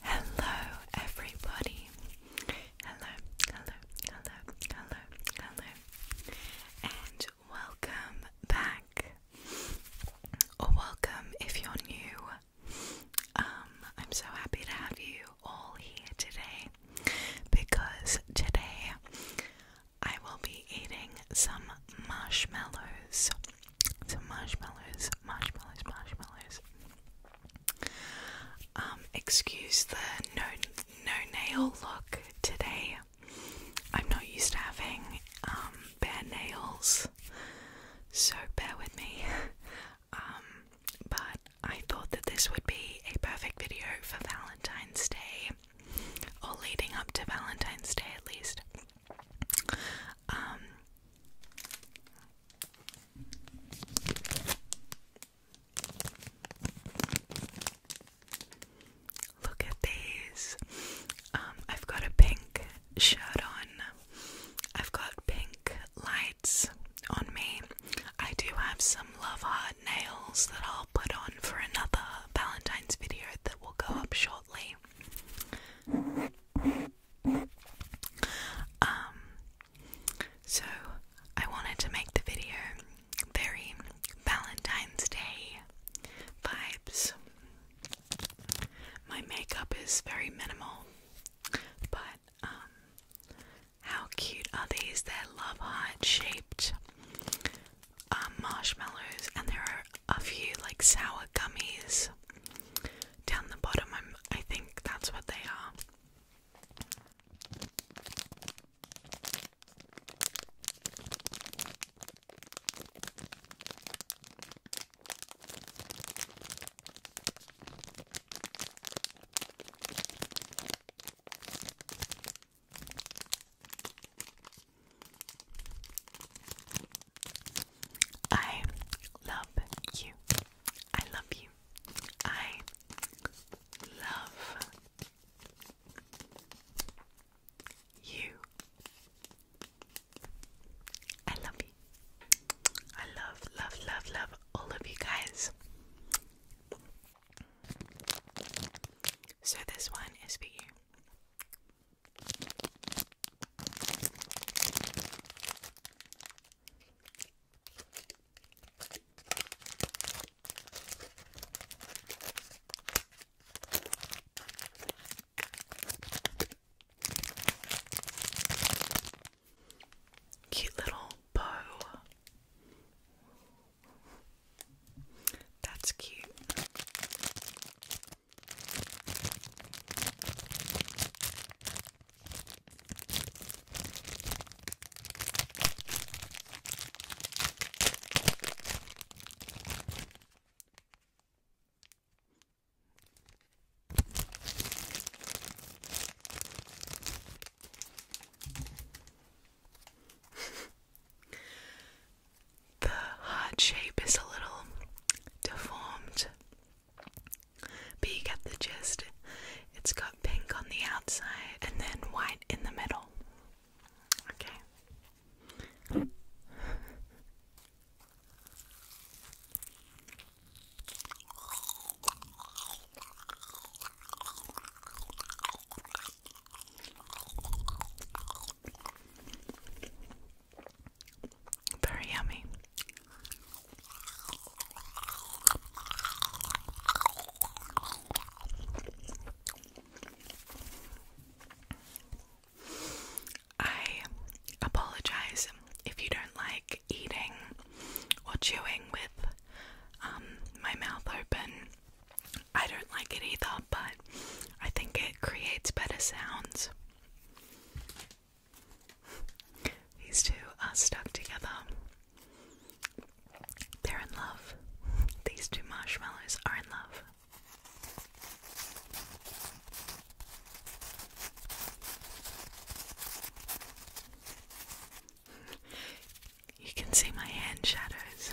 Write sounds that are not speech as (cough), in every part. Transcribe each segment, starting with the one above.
Hello, everybody. Hello, hello, hello, hello, hello, and welcome back. Or welcome if you're new. Um, I'm so happy to have you all here today because today I will be eating some marshmallows. Some marshmallows, marshmallows, marshmallows. Um, excuse the no no nail look today. I'm not used to having um, bare nails, so bear with me. Um, but I thought that this would be a perfect video for Valentine's Day or leading up to Valentine's Day at least. Um, look at these. Um, I've got a pink shirt on. I've got pink lights on me. I do have some love hearts nails that I'll put on for another Valentine's video that will go up shortly. Um, so I wanted to make the video very Valentine's Day vibes. My makeup is very minimal, but um, how cute are these? They're love heart shaped um, marshmallows, and there are a few like sour gummies down the bottom. I'm, I think that's what they are. I love you. I love you. I love you. I love you. I love, love, love, love all of you guys. So this one is for you. Cute little bow. That's cute. (laughs) the heart shape is a little deformed, but you get the gist. It's got pink on the outside and then white in the middle. Okay. Very yummy. I apologize if you don't like eating or chewing with um, my mouth open. I don't like it either, but I think it creates better sounds. These two are stuck together. They're in love. These two marshmallows are in love. You can see my hand shadows.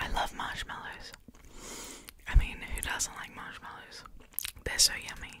I love marshmallows. I mean, who doesn't like marshmallows? They're so yummy.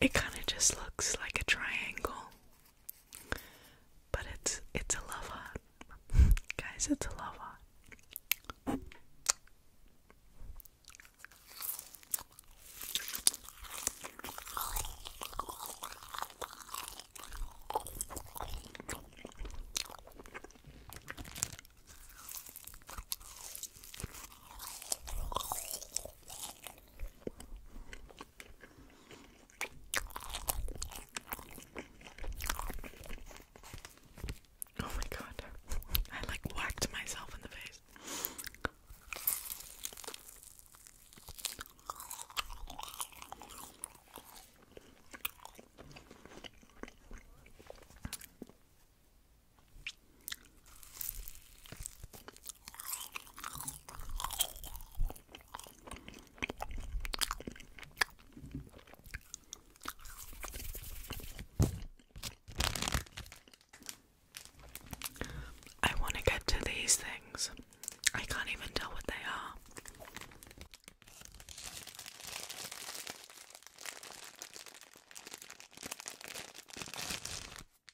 It kind of just looks like a triangle, but it's it's a love (laughs) guys. It's a love Oh my god. I like whacked myself in the face. I want to get to these things. I can't even tell what they are.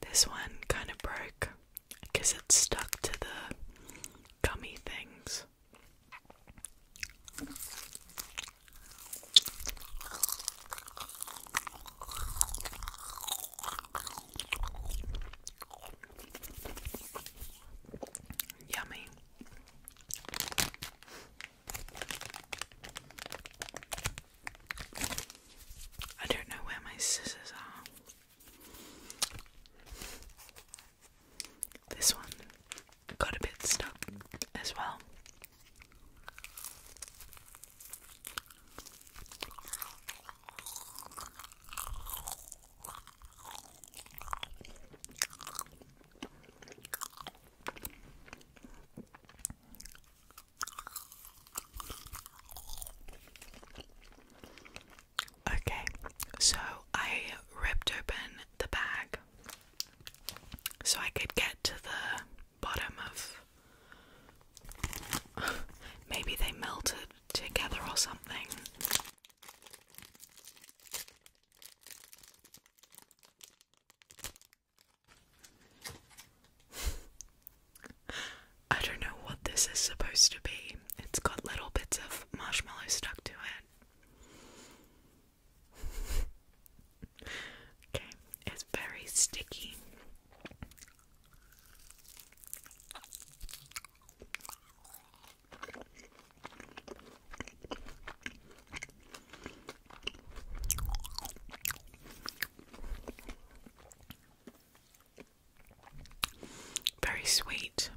This one kind of broke because it stuck to the gummy things. Yummy. I don't know where my scissors are. This one got a bit stuck as well. Okay, so I ripped open the bag so I could get to the bottom of. (laughs) Maybe they melted together or something. (laughs) I don't know what this is supposed to be. It's got little bits of marshmallow stuck to it. (laughs) okay, it's very sticky. Very sweet.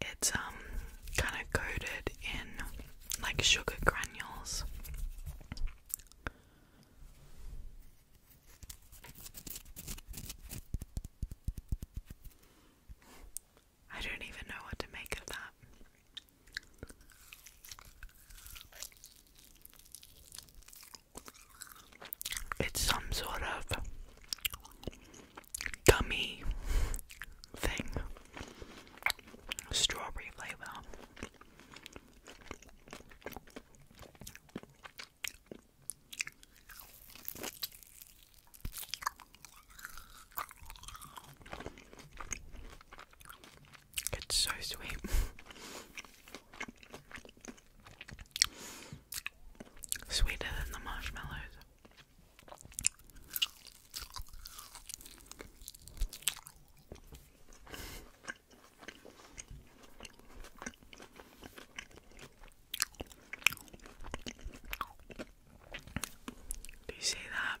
It's um kind of coated in like sugar granules. I don't even know what to make of that. It's some sort of gummy thing, strawberry flavor. It's so sweet. Sweeter than the marshmallows. Do you see that?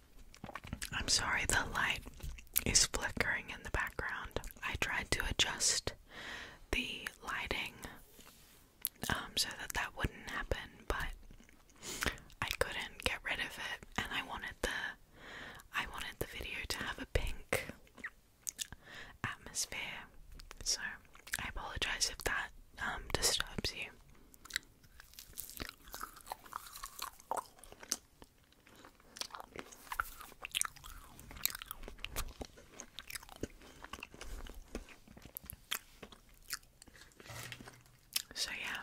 I'm sorry, the light is flickering in the background. I tried to adjust the lighting um, so that that wouldn't happen, but I couldn't get rid of it, and I wanted the I wanted the video to have a pink atmosphere. So I apologize if that um, disturbs you. So, yeah,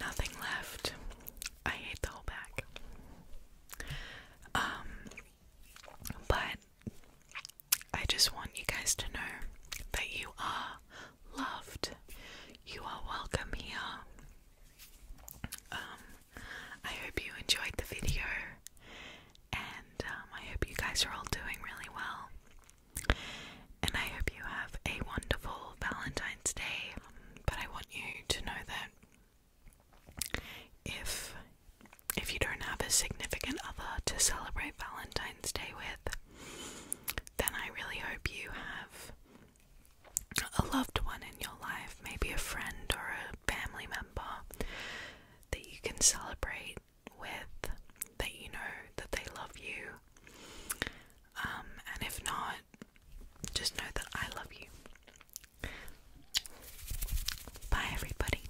nothing left. I hate the whole bag. Um, but I just want you guys to know that you are loved. You are welcome here. Um, I hope you enjoyed the video, and um, I hope you guys are all doing really well. And I hope you have a wonderful Valentine's Day. but I want you to know that if if you don't have a significant other to celebrate Valentine's Day with, then I really hope you have a loved one in your life, maybe a friend or a family member that you can celebrate with, that you know that they love you. Um, and if not, just know that I love you. Bye, everybody.